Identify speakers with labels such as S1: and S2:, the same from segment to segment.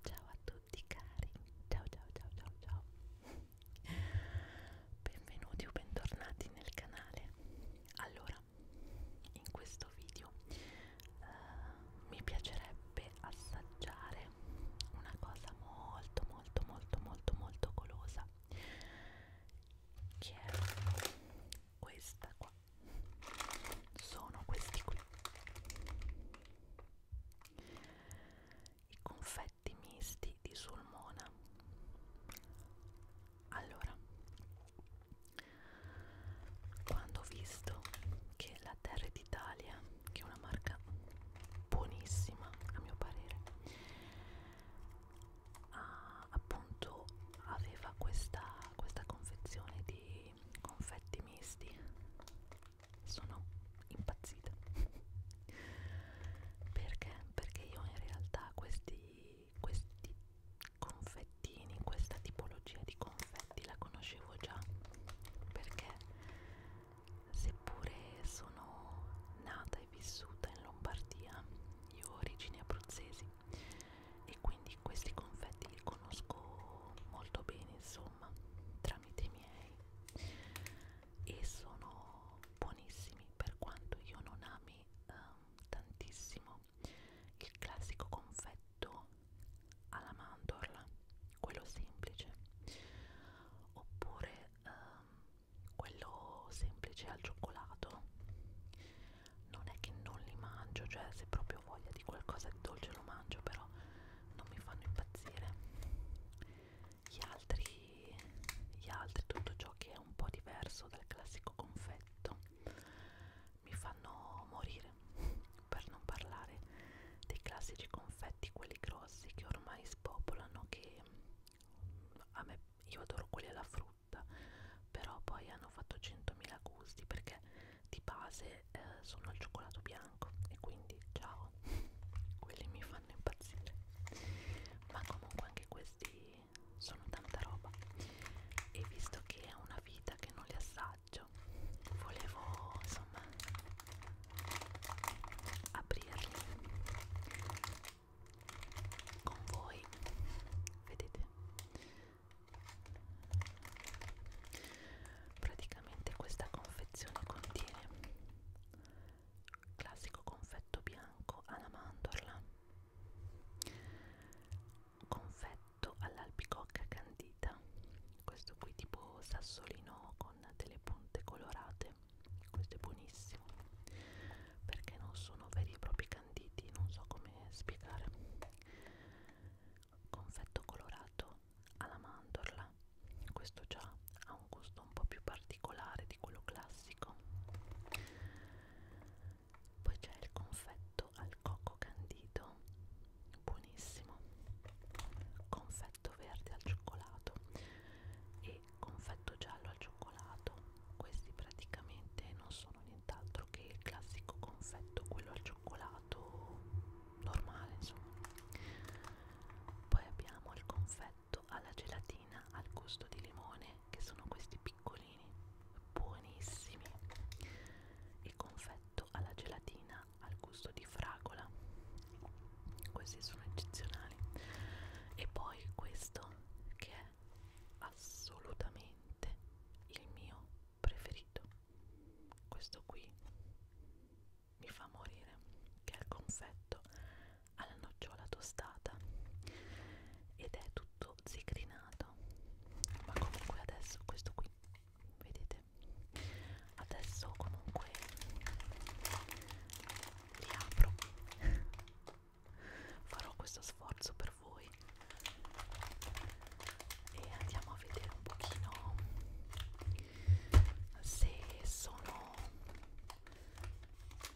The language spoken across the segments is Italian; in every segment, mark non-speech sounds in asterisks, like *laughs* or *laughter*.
S1: Ciao a tutti cari, ciao ciao ciao ciao ciao Benvenuti o bentornati nel canale Allora, in questo video uh, mi piacerebbe assaggiare una cosa molto molto molto molto molto golosa Che è questa qua sono questi qui i confetti misti di Sulmona allora quando ho visto che la Terra d'Italia che è una marca buonissima a mio parere ah, appunto aveva questa, questa confezione di confetti misti sono impazzita perché? perché io in realtà questi, questi confettini questa tipologia di confetti la conoscevo già perché seppure sono nata e vissuta in Lombardia io ho origini abruzzesi e quindi questi confetti li conosco molto bene insomma tramite i miei e sono buonissimi per quanto io non ami um, tantissimo il classico confetto alla mandorla quello semplice oppure um, quello semplice al cioccolato non è che non li mangio, cioè se proprio ho voglia di qualcosa di dolce lo mangio, però non mi fanno impazzire. Gli altri, gli altri tutto ciò che è un po' diverso dal classico confetto, mi fanno morire, per non parlare dei classici confetti, quelli grossi che ormai spopolano, che a me io adoro quelli alla frutta però poi hanno fatto 100.000 gusti perché di base eh, sono al cioccolato bianco e quindi ciao *laughs* quelli mi fanno impazzire ma comunque anche questi sono tanta roba e visto che è una vita che non li assaggio volevo insomma aprirli con voi vedete praticamente questa confezione contiene classico confetto bianco alla mandorla confetto all'albicocca candita questo qui tipo sassolino con delle punte colorate questo è buonissimo perché non sono veri e propri canditi non so come spiegare confetto colorato alla mandorla questo già ha un gusto un po' più particolare di quello classico poi c'è il confetto al cocco candito buonissimo confetto verde al cioccolato e e confetto giallo al cioccolato questi praticamente non sono nient'altro che il classico confetto quello al cioccolato normale insomma poi abbiamo il confetto alla gelatina al gusto di limone che sono questi piccolini buonissimi il confetto alla gelatina al gusto di fragola questi sono eccezionali e poi questo che è assolutamente il mio preferito questo qui mi fa morire che è il confetto alla nocciola tostata ed è tutto zigrinato ma comunque adesso questo qui vedete adesso comunque li apro farò questo sforzo per voi e andiamo a vedere un pochino se sono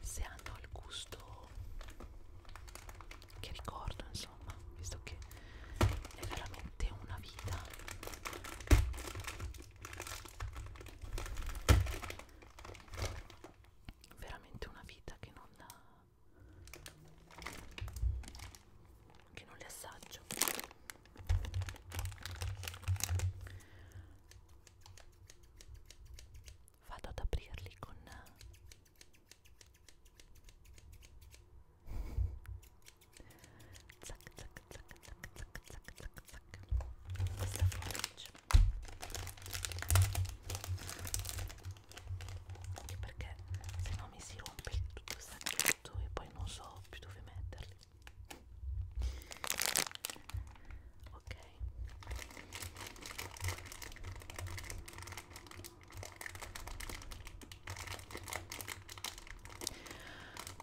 S1: se hanno il gusto che ricordo insomma visto che è veramente una vita veramente una vita che non dà che non le assaggio vado ad aprirli con *laughs* zac zac zac zac, zac, zac, zac. questa forbice anche perché se no mi si rompe tutto il sacchetto e poi non so più dove metterli ok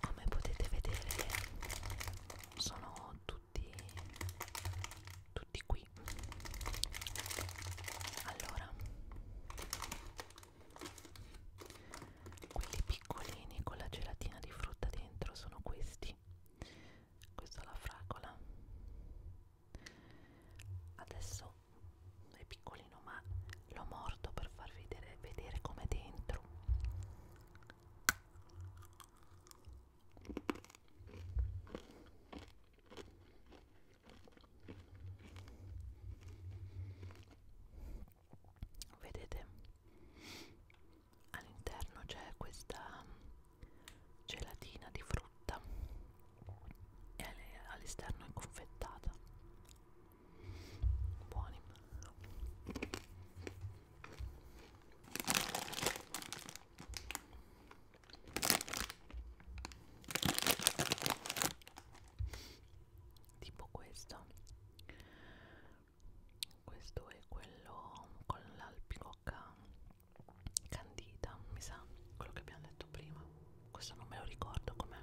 S1: come potete vedere sono tutti tutti qui allora quelli piccolini con la gelatina di frutta dentro sono questi questo è la fragola adesso è piccolino ma lo mordo per farvi vedere, vedere com'è dentro Vedete? All'interno c'è questa gelatina di frutta e all'esterno è confettata buoni tipo questo questo è quello con l'alpicocca candita mi sa quello che abbiamo detto prima questo non me lo ricordo com'è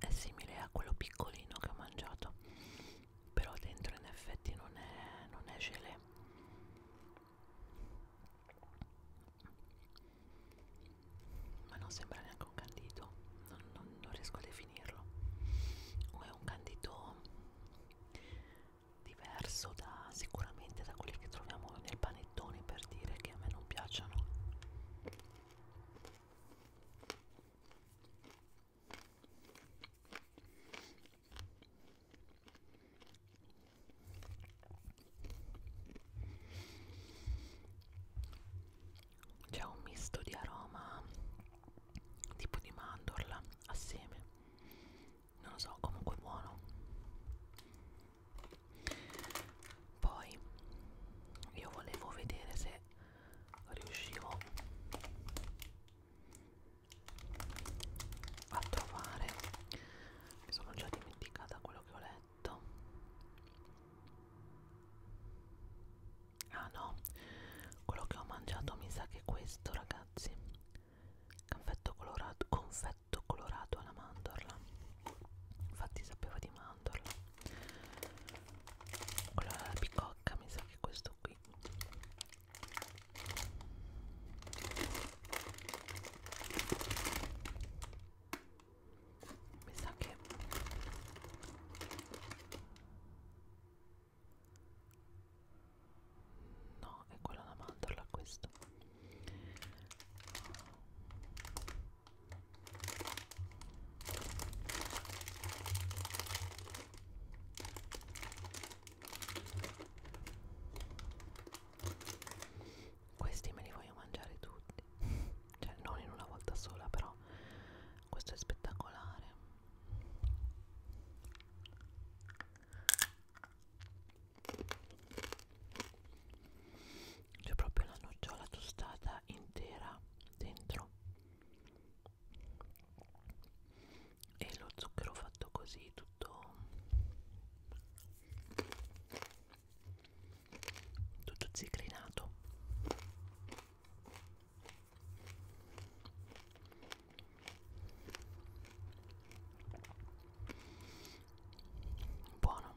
S1: è simile a quello piccolino che ho mangiato, però dentro in effetti non è, non è gelé ma non sembra neanche un candito non, non, non riesco a definirlo o è un candito diverso da, sicuramente da quelli che troviamo nel panettone per dire che a me non piacciono c'è un misto di aroma tipo di mandorla assieme non lo so comunque buono poi io volevo vedere se riuscivo a trovare mi sono già dimenticata quello che ho letto letto ah no quello che ho mangiato mi sa che è questo ragazzi confetto colorato confetto colorato alla mandorla infatti sapeva di mandorla quello alla bicocca mi sa che è questo qui mi sa che no è quella la mandorla questo questi me li voglio mangiare tutti cioè non in una volta sola però questo è spettacolare c'è proprio la nocciola tostata intera dentro e lo zucchero fatto così tutto tutto zicrinato buono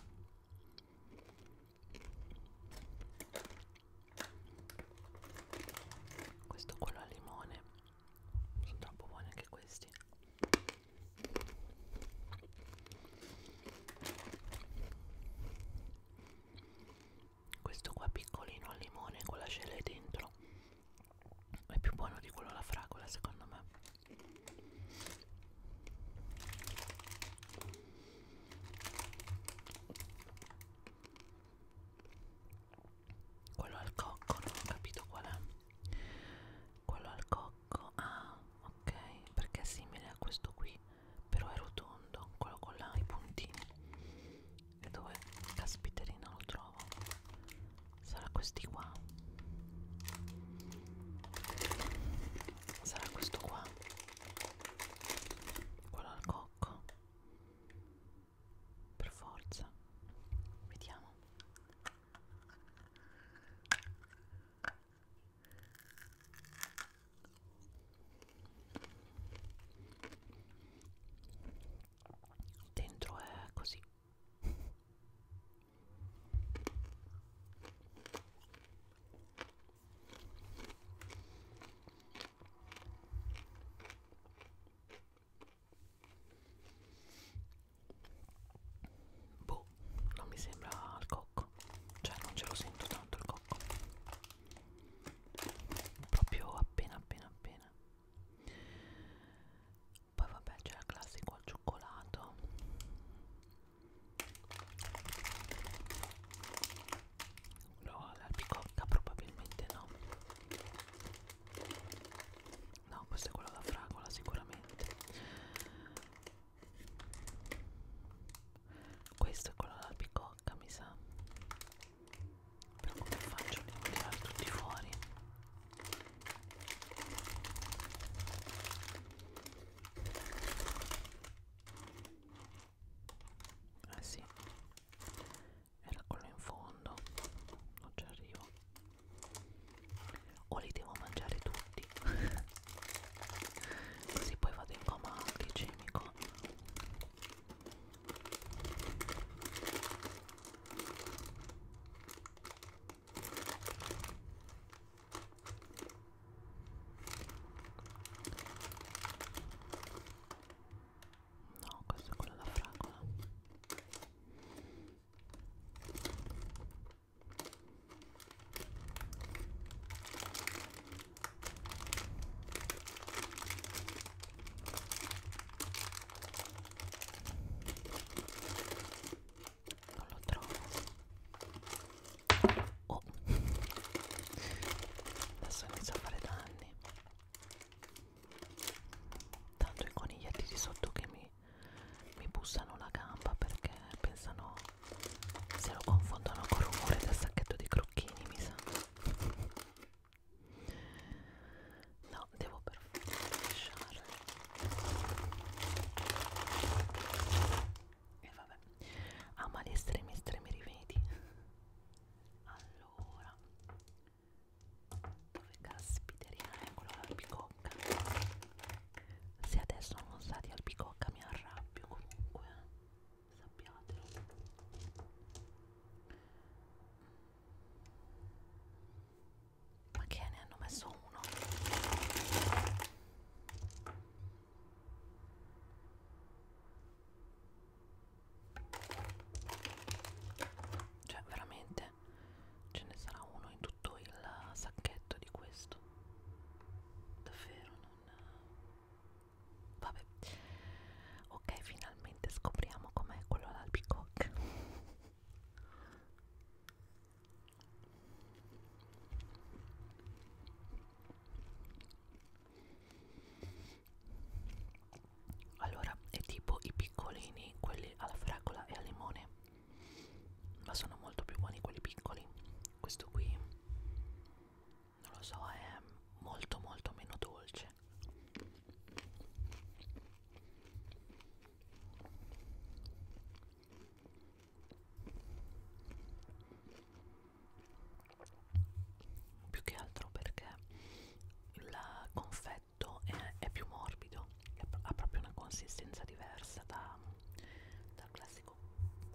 S1: questo quello al limone sono troppo buoni anche questi questo qua piccolino al limone con la cele dentro è più buono di quello alla fragola secondo me quello al cocco non ho capito qual è quello al cocco blocco ah ok perché è simile a questo qui però è rotondo quello con là, i puntini e dove caspiterina lo trovo sarà questi qua sarà questo qua quello al cocco per forza vediamo dentro è così Boh, non mi sembra il cocco. Cioè non ce lo sento tanto il cocco. Proprio appena appena appena. Poi vabbè c'è la classico al cioccolato. No, l'albicocca probabilmente no. No, questo è quello da fragola sicuramente. Questo è quello da picocca, mi sa. Però come faccio a tirare tutti fuori? Eh sì, era quello in fondo, non ci arrivo o li devo mangiare tutti *laughs* così poi vado in coma glicemico No, questo è quello della fragola non lo trovo oh. adesso inizio a fare danni tanto i coniglietti di sotto che mi mi bussano la gamba perché pensano se lo confondono con il rumore del sacchetto di crocchini mi sa no devo per forza lasciare e vabbè ama gli estremi estremi rimedi allora dove caspiterina eccolo l'albicocca se adesso non usate albicocca mi arrabbio comunque eh. sappiatelo ma che ne hanno messo uno cioè veramente ce ne sarà uno in tutto il sacchetto di questo. Davvero non... Vabbè. Ok, finalmente scopriamo com'è quello all'albicocca allora è tipo i piccolini quelli alla fragola e al limone ma sono molto più buoni quelli piccoli questo qui non lo so è molto molto meno dolce più che altro perché la confetto fetto è, è più morbido, è, ha proprio una consistenza diversa da, dal classico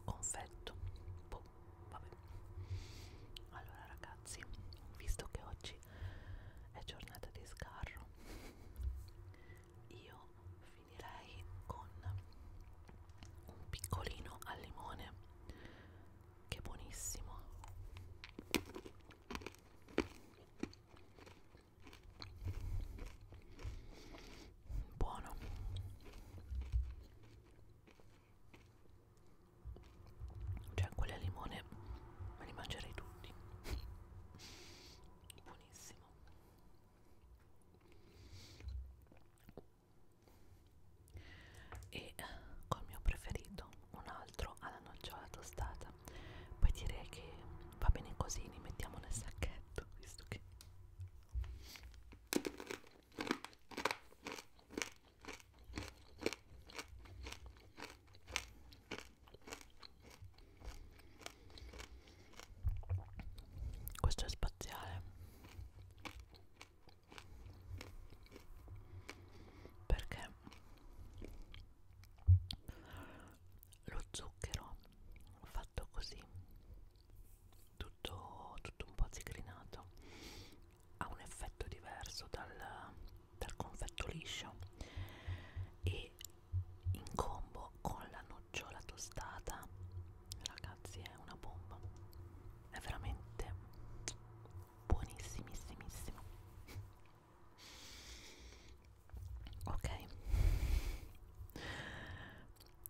S1: confetto. Boh, vabbè. Allora ragazzi, visto che oggi è giornata di scarro, io finirei con un piccolino al limone che buonissimo buono cioè quelli al limone me li mangerei tutti buonissimo e eh, col mio preferito un altro alla nocciola tostata poi direi che va bene così li mettiamo nel sacchetto visto che questo è spaziale perché lo zucchero fatto così tutto, tutto un po' zigrinato ha un effetto diverso dal, dal confetto liscio e in combo con la nocciola tostata ragazzi è una bomba è veramente buonissimissimissimo *laughs* ok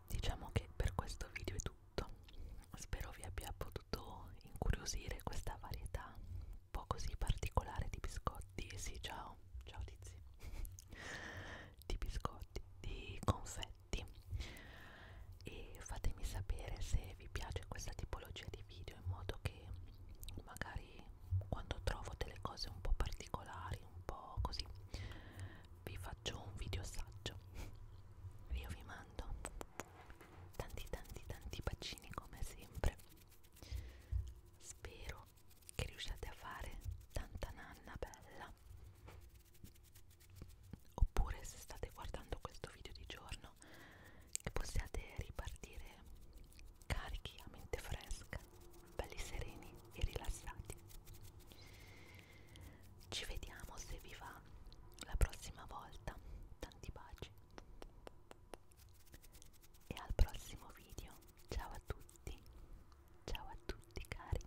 S1: diciamo che per questo video è tutto spero vi abbia potuto incuriosire questa varietà un po' così particolare di biscotti sì ciao ciao tizi *laughs* di biscotti di confetti oggetti e fatemi sapere se vi piace questa tipologia di video in modo che magari quando trovo delle cose un po' particolari un po' così vi faccio un video saggio io vi mando tanti tanti tanti bacini come sempre spero che riusciate a fare tanta nanna bella oppure se state guardando questo video di giorno che possiate ripartire carichi a mente fresca belli sereni e rilassati ci vediamo se vi va la prossima volta tanti baci e al prossimo video ciao a tutti ciao a tutti cari